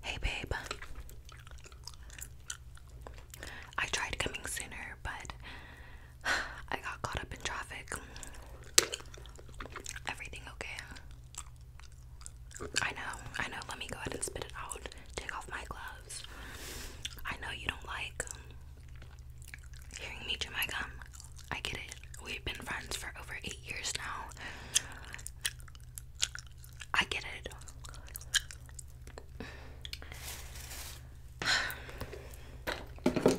Hey, babe. I tried coming sooner, but I got caught up in traffic. Everything okay? I know, I know. Let me go ahead and spit it out. Take off my gloves. I know you don't like hearing me chew my gum. I get it. We've been friends for over eight years now. I get it.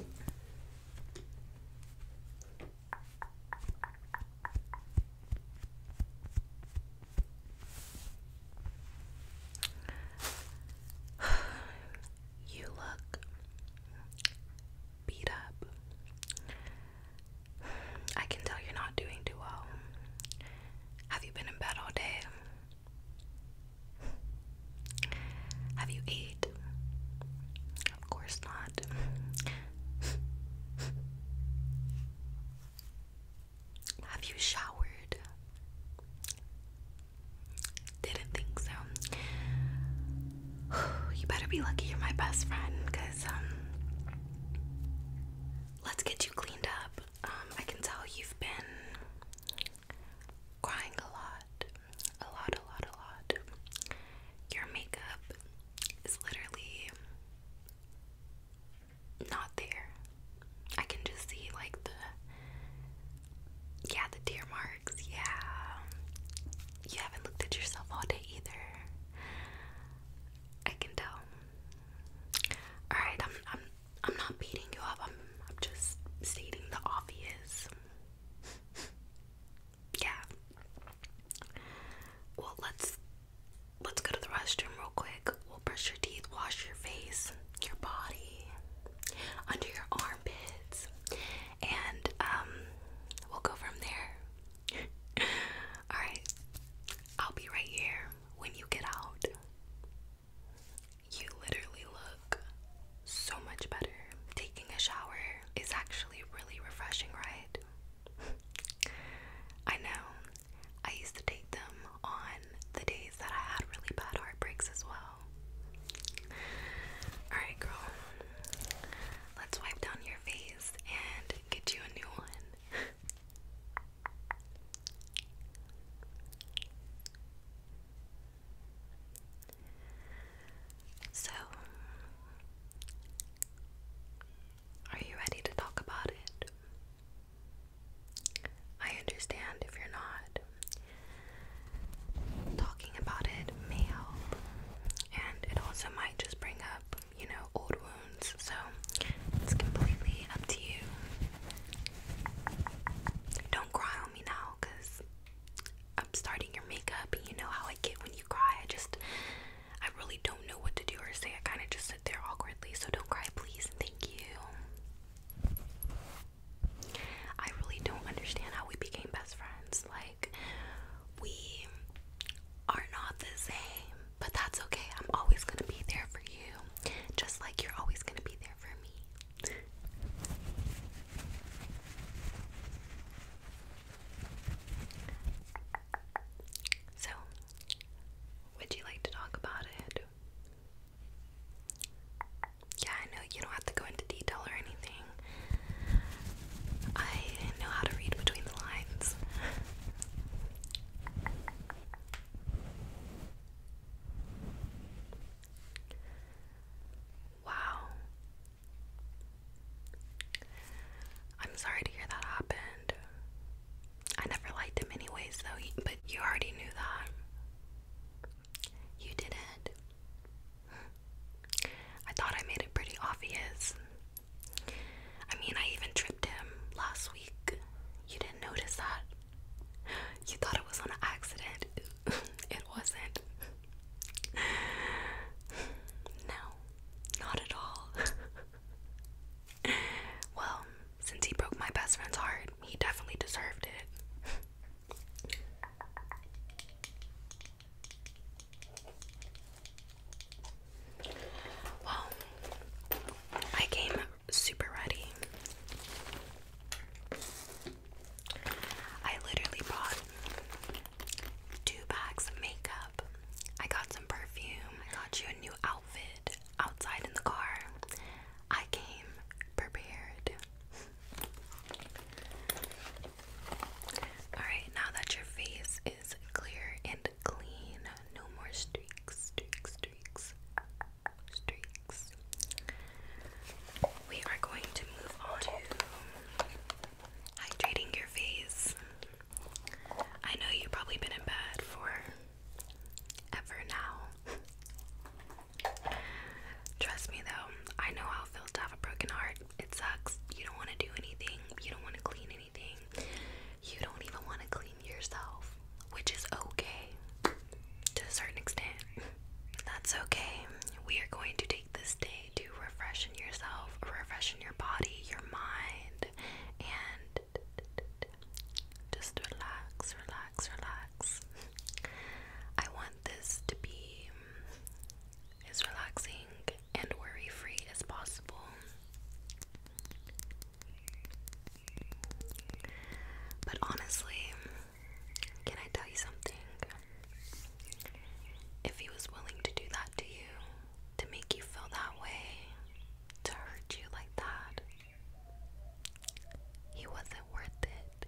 You look beat up. I can tell you're not doing too well. Have you been in bed all day? Have you ate? Of course not. Have you showered? Didn't think so. You better be lucky you're my best friend, cause um, let's get you cleaned up. Um, I can tell you've been crying a lot, a lot, a lot, a lot. Your makeup is literally not there. I can just see like the yeah the tear marks yeah. You haven't looked at yourself all day either. I can tell. Alright, I'm I'm I'm not beating you up. I'm I'm just stating the obvious. yeah. Well let's let's go to the restroom real quick. We'll brush your teeth, wash your face, your body, under your armpits, and um, we'll go from there. Alright, I'll be right here when you get out. You literally look so much better. Taking a shower is actually really refreshing, right? I know. I used to take them on the days that I had really bad heartbreaks as well. Alright, girl. Let's wipe down your face and get you a new one. So, are you ready to talk about it? I understand if you're not. Talking about it may help, and it also might just bring up, you know, old wounds, so it's completely up to you. Don't cry on me now because I'm starting your makeup, and you know how I get when you cry. I just, I really don't know what to do or say. I kind of just sit there awkwardly, so don't cry, please. Thank you. I really don't understand how we became best friends. Like, we are not the same, but that's okay. I'm always gonna be there for you, just like you're always gonna be there for me. So, would you like to talk about it? Yeah, I know you don't have to go into detail or anything. I know how to read between the lines. wow. I'm sorry to hear that happened. I never liked him, anyways, though, but you already knew that. You didn't. I thought I made it pretty obvious. I mean, I even tripped him last week. You didn't notice that. You thought it was an accident. it wasn't. No, not at all. well, since he broke my best friend's heart, he definitely deserved it. Well, I came super ready. I literally bought two bags of makeup. I got some perfume. I got you a new outfit outside in the car. I came prepared. Alright, now that your face is clear and clean, no more streaks, streaks, streaks, streaks. We are going to move on to hydrating your face. I know you've probably been in bed for ever now. Trust me though, I know how it feels to have a broken heart. It sucks. You don't want to do anything, you don't want to clean anything, you don't even want to clean yourself, which is okay to a certain extent. That's okay. We are going to take this day to refreshen yourself, refreshen your body, your mind, and just relax, relax, relax. I want this to be as relaxing and worry free as possible. But honestly, can I tell you something? If he was willing to do that to you, to make you feel that way, to hurt you like that, he wasn't worth it.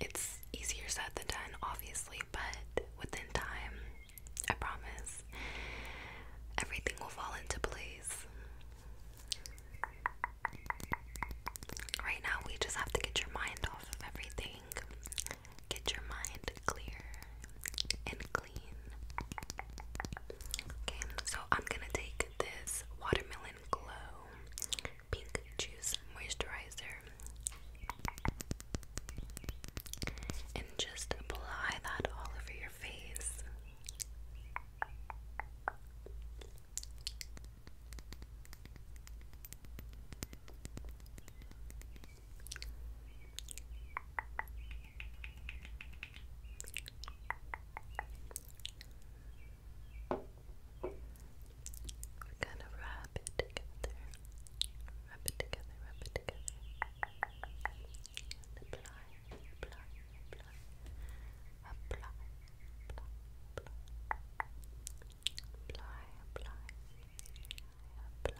it's easier said than done, obviously, but within time, I promise, everything will fall into place. Right now, we just have to get your mind off of everything. Get your mind clear and clean. Okay, so I'm gonna take this watermelon glow Pink Juice Moisturizer. And just apply that all over your face. We're going wrap it together. Wrap it together, wrap it together. apply. Apply, apply. Apply, apply. Apply, apply, apply.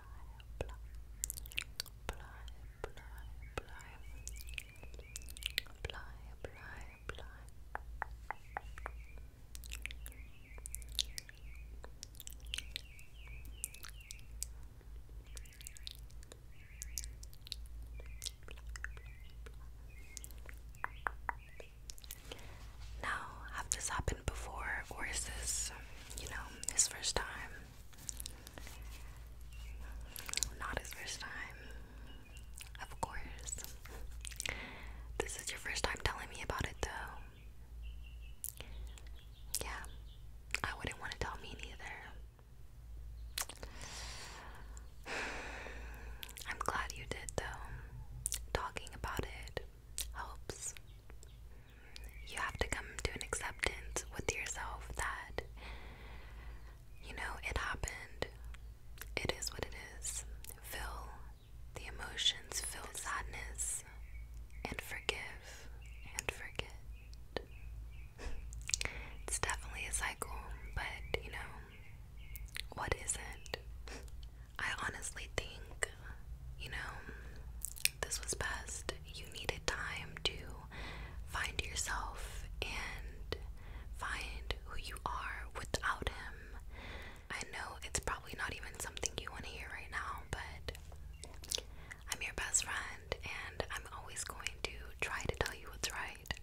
Apply, apply, apply. Now, have this happened before, or is this, you know, his first time? Not his first time. Of course. This is your first time telling me about it, though. Yeah, I wouldn't want to tell me either. I'm glad you did, though. Talking about it helps. You have to come to an acceptance with yourself that you know, it happened. It is what it is. Fill the emotions, feel sadness, and forgive and forget. It's definitely a cycle, but you know, what it? I honestly think, you know, this was best. You needed time to find yourself and Find who you are without him. I know it's probably not even something you want to hear right now, but I'm your best friend and I'm always going to try to tell you what's right.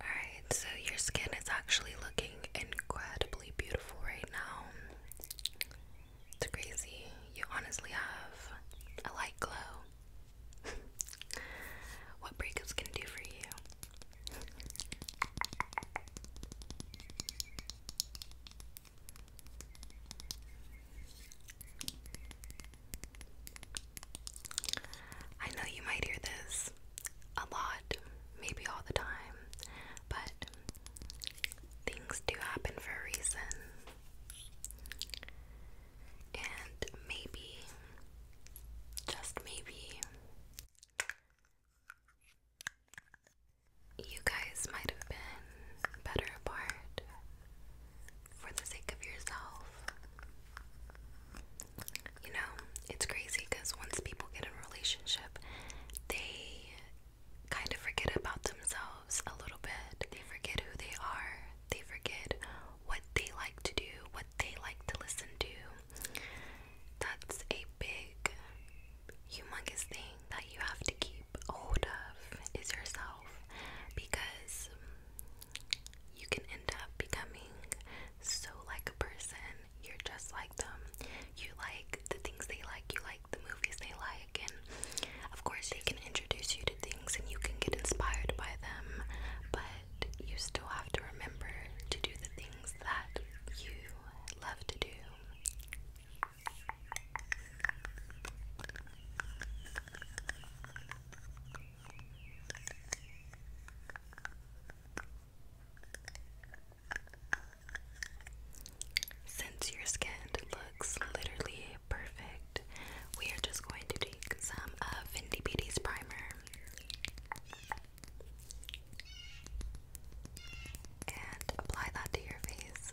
Alright, so your skin is actually looking incredibly beautiful right now. It's crazy. You honestly have a light glow. what breakups can do for you? I know you might hear this a lot, maybe all the time, but things do happen for a reason. And maybe, just maybe, you guys might have been better apart for the sake of yourself you know, it's crazy because once people get in a relationship, they kind of forget about themselves a little bit. They forget who they are, they forget what they like to do, what they like to listen to. That's a big, humongous thing that you have to keep hold of is yourself because you can end up becoming so like a person. You're just like them. You like the things they like, you like the movies they like, and of course, they can introduce you to things and you can get inspired by them, but you still have to remember to do the things that you love to do. Since your skin looks literally perfect, we are just going to take some of Fenty Beauty's primer and apply that to your face.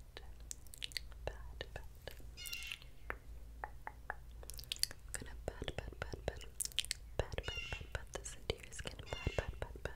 pat, pat. I'm gonna pat, pat, pat, this into your skin. Pat, pat, pat, pat. Pat,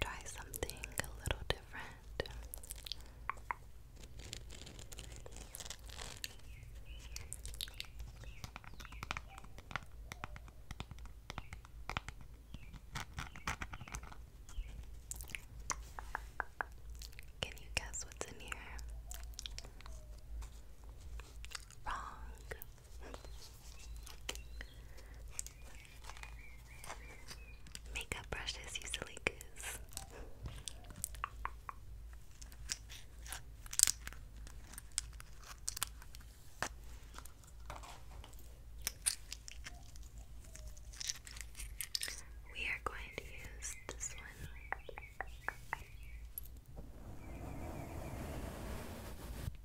try something a little different. Can you guess what's in here? Wrong. Makeup brushes, you silly goose. We are going to use this one.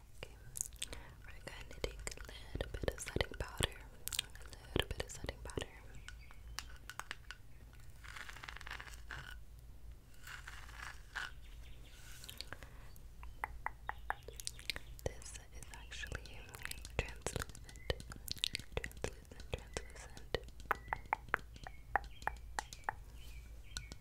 We're going to take a little bit of setting powder. A little bit of setting powder. This is actually translucent. Translucent, translucent.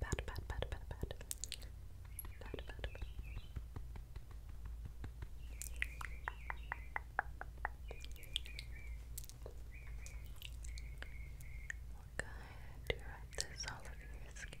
Pat, pat, pat, pat, pat. Pat, pat, pat. we this all over your skin.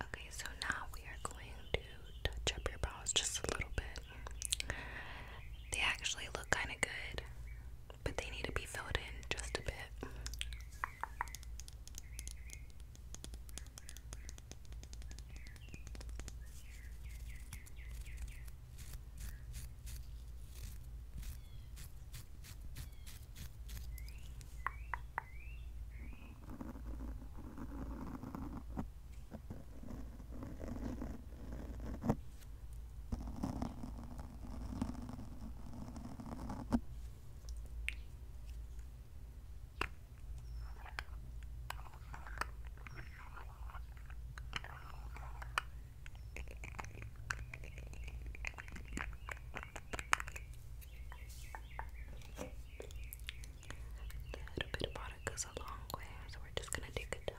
Okay, so now we are going to touch up your brows just a little bit. They actually look kind of good but they need to be filled in just a bit little bit bought us a long way, so we're just gonna take a dab.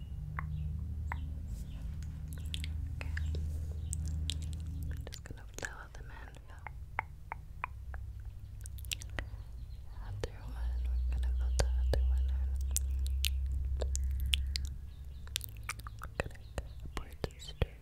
Okay. I'm just gonna fill them in. Yeah. one, we're gonna fill the other one in. We're gonna board the straight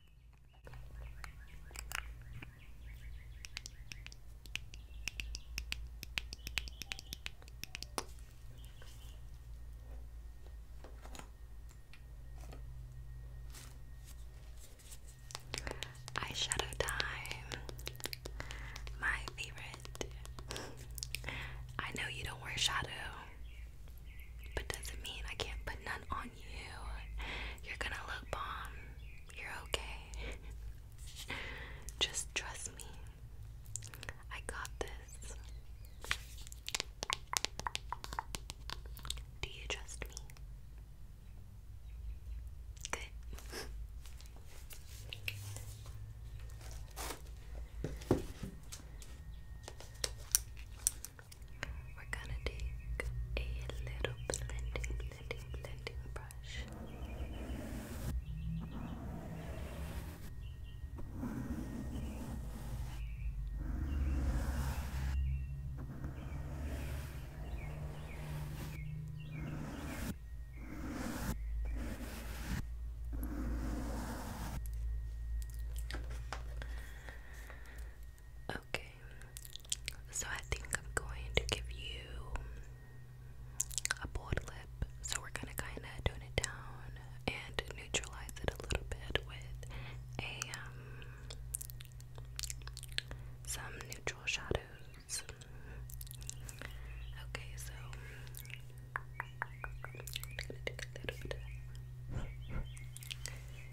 Eyeshadow time, my favorite. I know you don't wear shadow, but doesn't mean I can't put none on you. You're gonna look bomb. You're okay. Just trust me. I got this. Do you trust me? Good. We're gonna take a little blending, blending, blending brush. Okay, so I think I'm going to give you a bold lip. So we're going to kind of tone it down and neutralize it a little bit with a um, some neutral shadows. Okay, so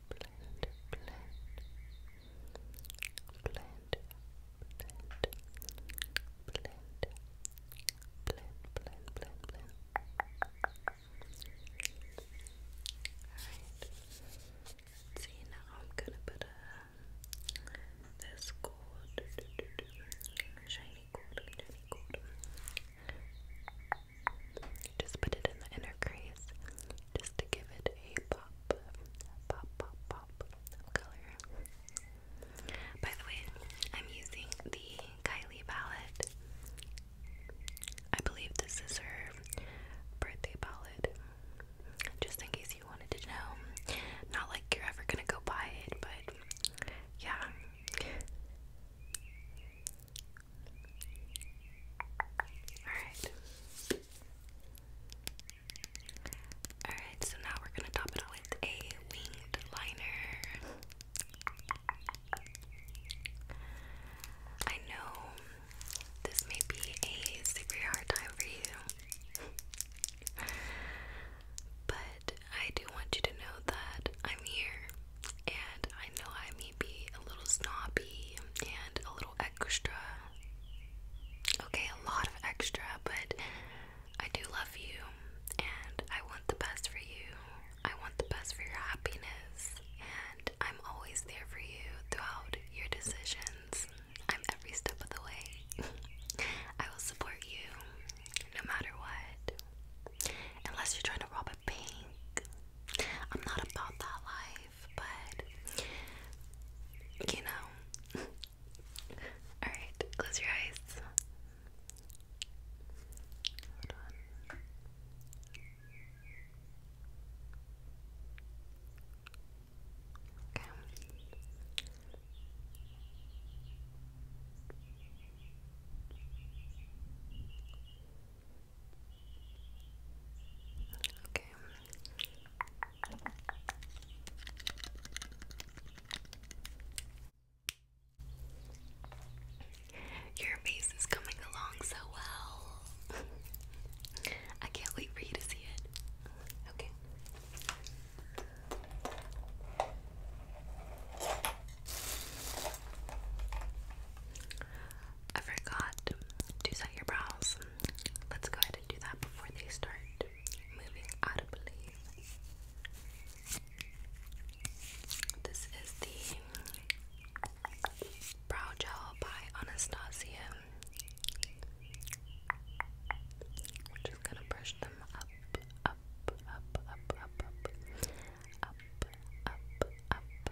blend, blend, blend, blend, blend, blend, blend, blend, blend. Alright. See now I'm gonna put a this gold shiny gold shiny gold just put it in the inner crease just to give it a pop, pop, pop, pop color. By the way, I'm using the Kylie palette. I believe this is her birthday palette. Just in case you wanted to know. Not like you're ever gonna go buy it, but yeah. Alright. Alright, so now we're gonna top it with a winged liner. I know this may be a super hard time for you, but I do want you to know that I'm here and I know I may be a little snobby and a little extra. Okay, a lot of extra, but I do love you and I want the best for you. I want the best for your happiness, and I'm always there for you throughout your decisions. I'm every step of the way. I will support you no matter what. Unless you're trying to rob a bank. I'm not about that life, but you know. Alright, close your eyes. Hold on. Okay. Okay. Your face is coming along so well. I can't wait for you to see it. Okay. I forgot to set your brows. Let's go ahead and do that before they start moving audibly. This is the Brow Gel by Anastasia. We're just gonna brush them up, up, up, up, up, up, up, up, up,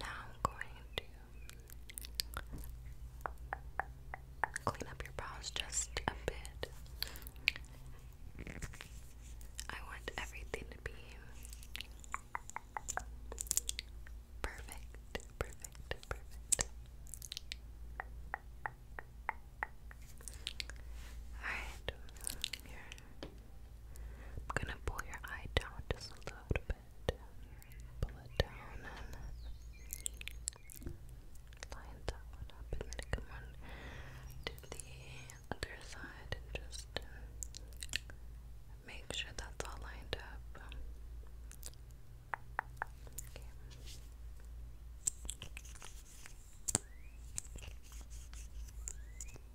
Now I'm going to clean up your brows just a bit. I want everything to be perfect, perfect, perfect. Alright, here. I'm gonna pull your eye down just a little bit bit, pull it down, and line that one up, and then come on to the other side and just make sure that's all lined up.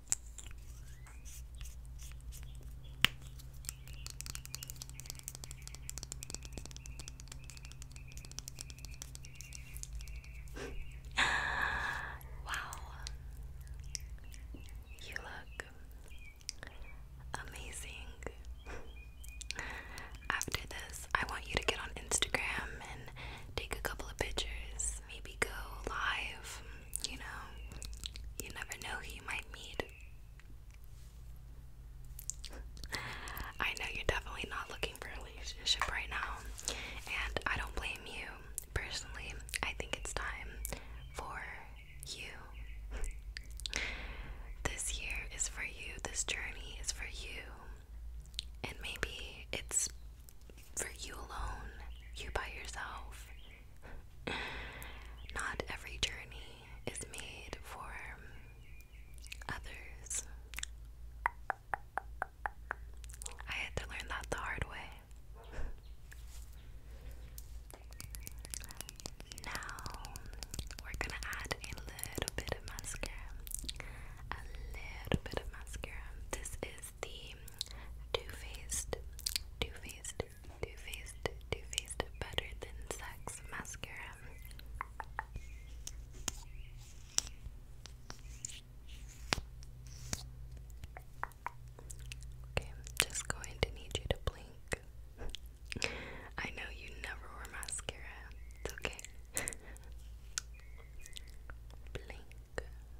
wow, you look amazing. After this, I want you to get on Instagram and take a couple of pictures, maybe go live you know, you never know who you might meet. I know you're definitely not looking for a relationship right now, and I don't blame you. Personally, I think it's time for you. this year is for you, this journey is for you, and maybe it's for you alone, you by yourself. Not every journey is made for others. I had to learn that the hard way. Now we're gonna add a little bit of mascara. A little bit of mascara. This is the Too Faced, Too Faced, Too Faced, Too Faced Better Than Sex Mascara. Okay, I'm just going to need you to blink. I know you never wear mascara. It's okay. blink,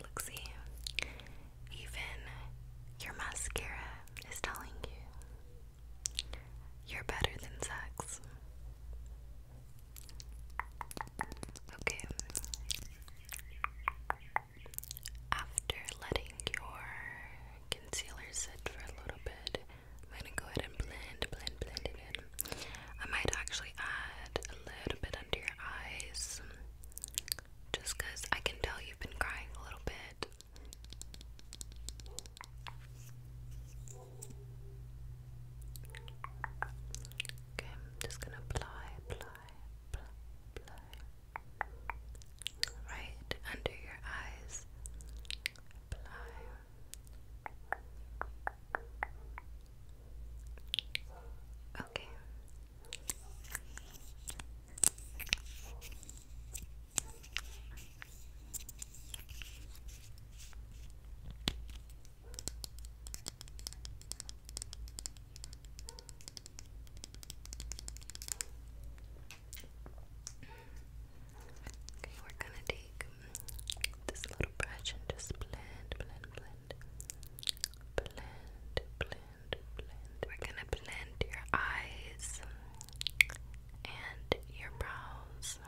Look, see, even your mascara is telling you you're better than sex. Okay. After letting your concealer sit for a little bit. I'm gonna go ahead and blend, blend, blend it in. I might actually add a little bit under your eyes. Just because I can tell you've been crying a little bit. Okay, I'm just gonna apply, apply, apply, apply right under your eyes. Okay. Okay, we're gonna take mm, this little brush and just blend, blend, blend. Blend, blend, blend. We're gonna blend your eyes and your brows.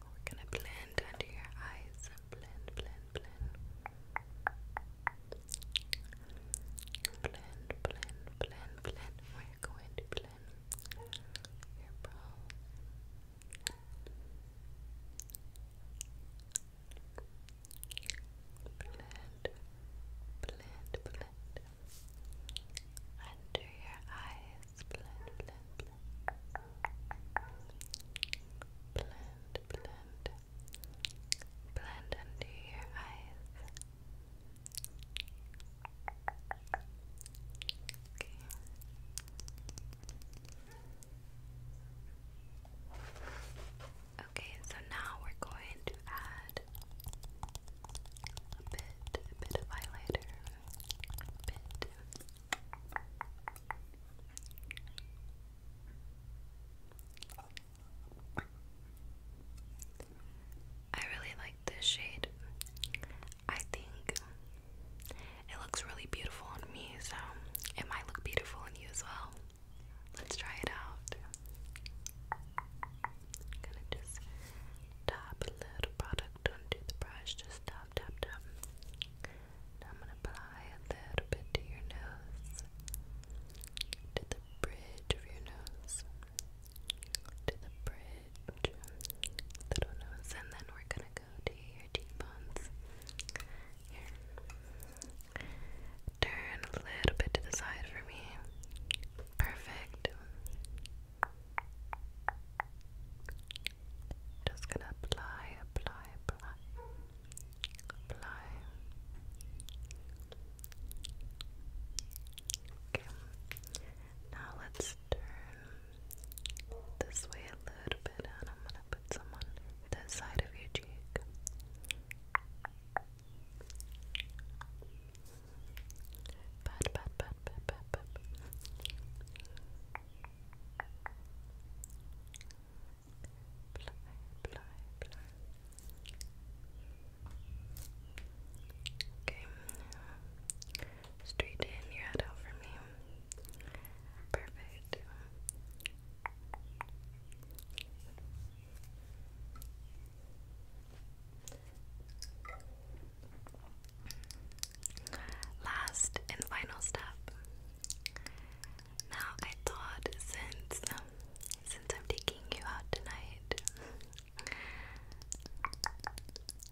We're gonna blend under your eyes. Blend, blend, blend. Blend, blend, blend, blend. We're going to blend your brows. Blend, blend, blend. Under your eyes. Blend, blend, blend. Blend, blend blend under your eyes. Okay. Okay, so now we're going to add a bit, a bit of highlighter, I really like this shade. I think it looks really beautiful on me, so it might look beautiful on you as well. Let's try it out. gonna just dab a little product onto the brush, just dab, dab, dab. I'm gonna apply a little bit to your nose nose, to the bridge of your nose, to the bridge, little nose, and then we're gonna go to your cheekbones. Here. Turn a little bit to the side for me. Perfect. Just gonna apply, apply, apply apply okay now let's turn this way a little bit and I'm gonna put some on the side of your cheek Straighten your head out for me. Perfect. Last and final step. Now I thought since um, since I'm taking you out tonight,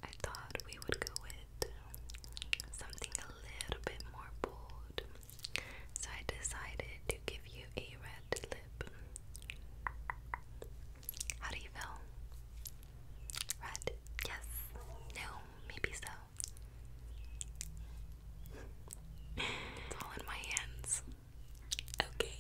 I thought we would go with something a little bit more bold. So I decided to give you a red lip. How do you feel? Red? Yes? No? Maybe so all in my hands. Okay.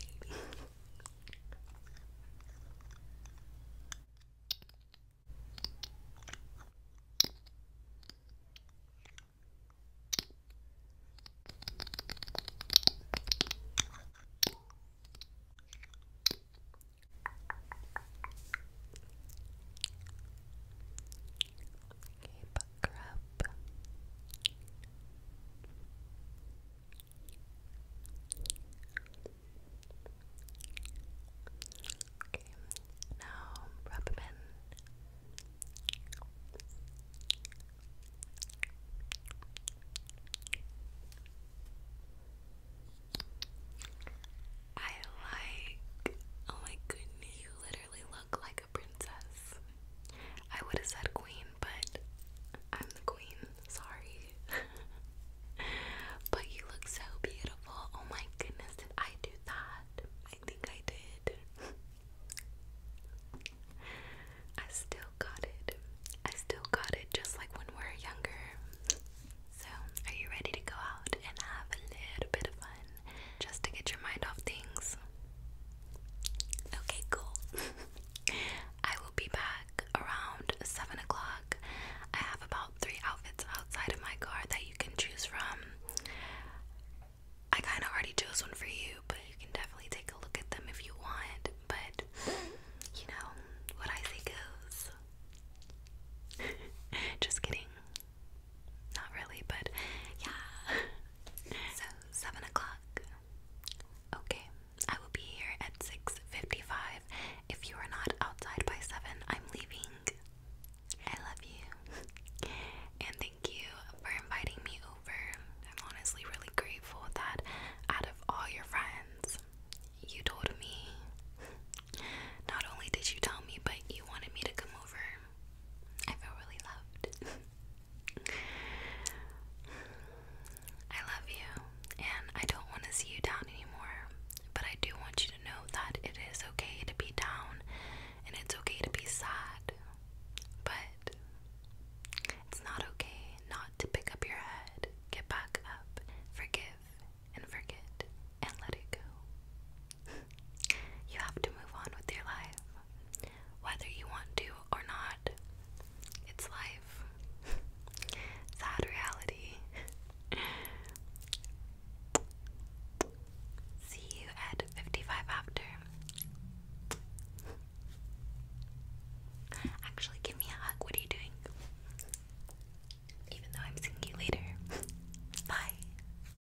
Okay, pucker up. Okay, now rub them in. I like, oh my goodness, you literally look like princess. I would have said queen, but I'm the queen. Sorry. but you look so beautiful. Oh my goodness, did I do that? I think I did. I still got it. I still got it just like when we were younger. So, are you ready to go out and have a little bit of fun? just to get your mind off things. Okay, cool. I will be back around 7 o'clock. I have about three outfits outside of my car that you can choose from. I kind of already chose one for you, but you can definitely take a look at them if you want. But, you know, what I say goes. Just kidding. Not really, but yeah. so seven o'clock. Okay, I will be here at six fifty-five. If you are not outside by seven, I'm leaving. I love you, and thank you for inviting me over. I'm honestly really grateful that out of all your friends, you told me. Not only did you tell me, but you wanted me to come over. I feel really loved. I love you, and I don't want to see you down anymore, but I do want you to know that it is okay to be down and it's okay to be sad, but it's not okay not to pick up your head, get back up, forgive, and forget, and let it go. You have to move on with your life. Whether you want to or not, it's life. Sad reality. See you at 55 after. Actually, give me a hug. What are you doing? Even though I'm seeing you later. Bye.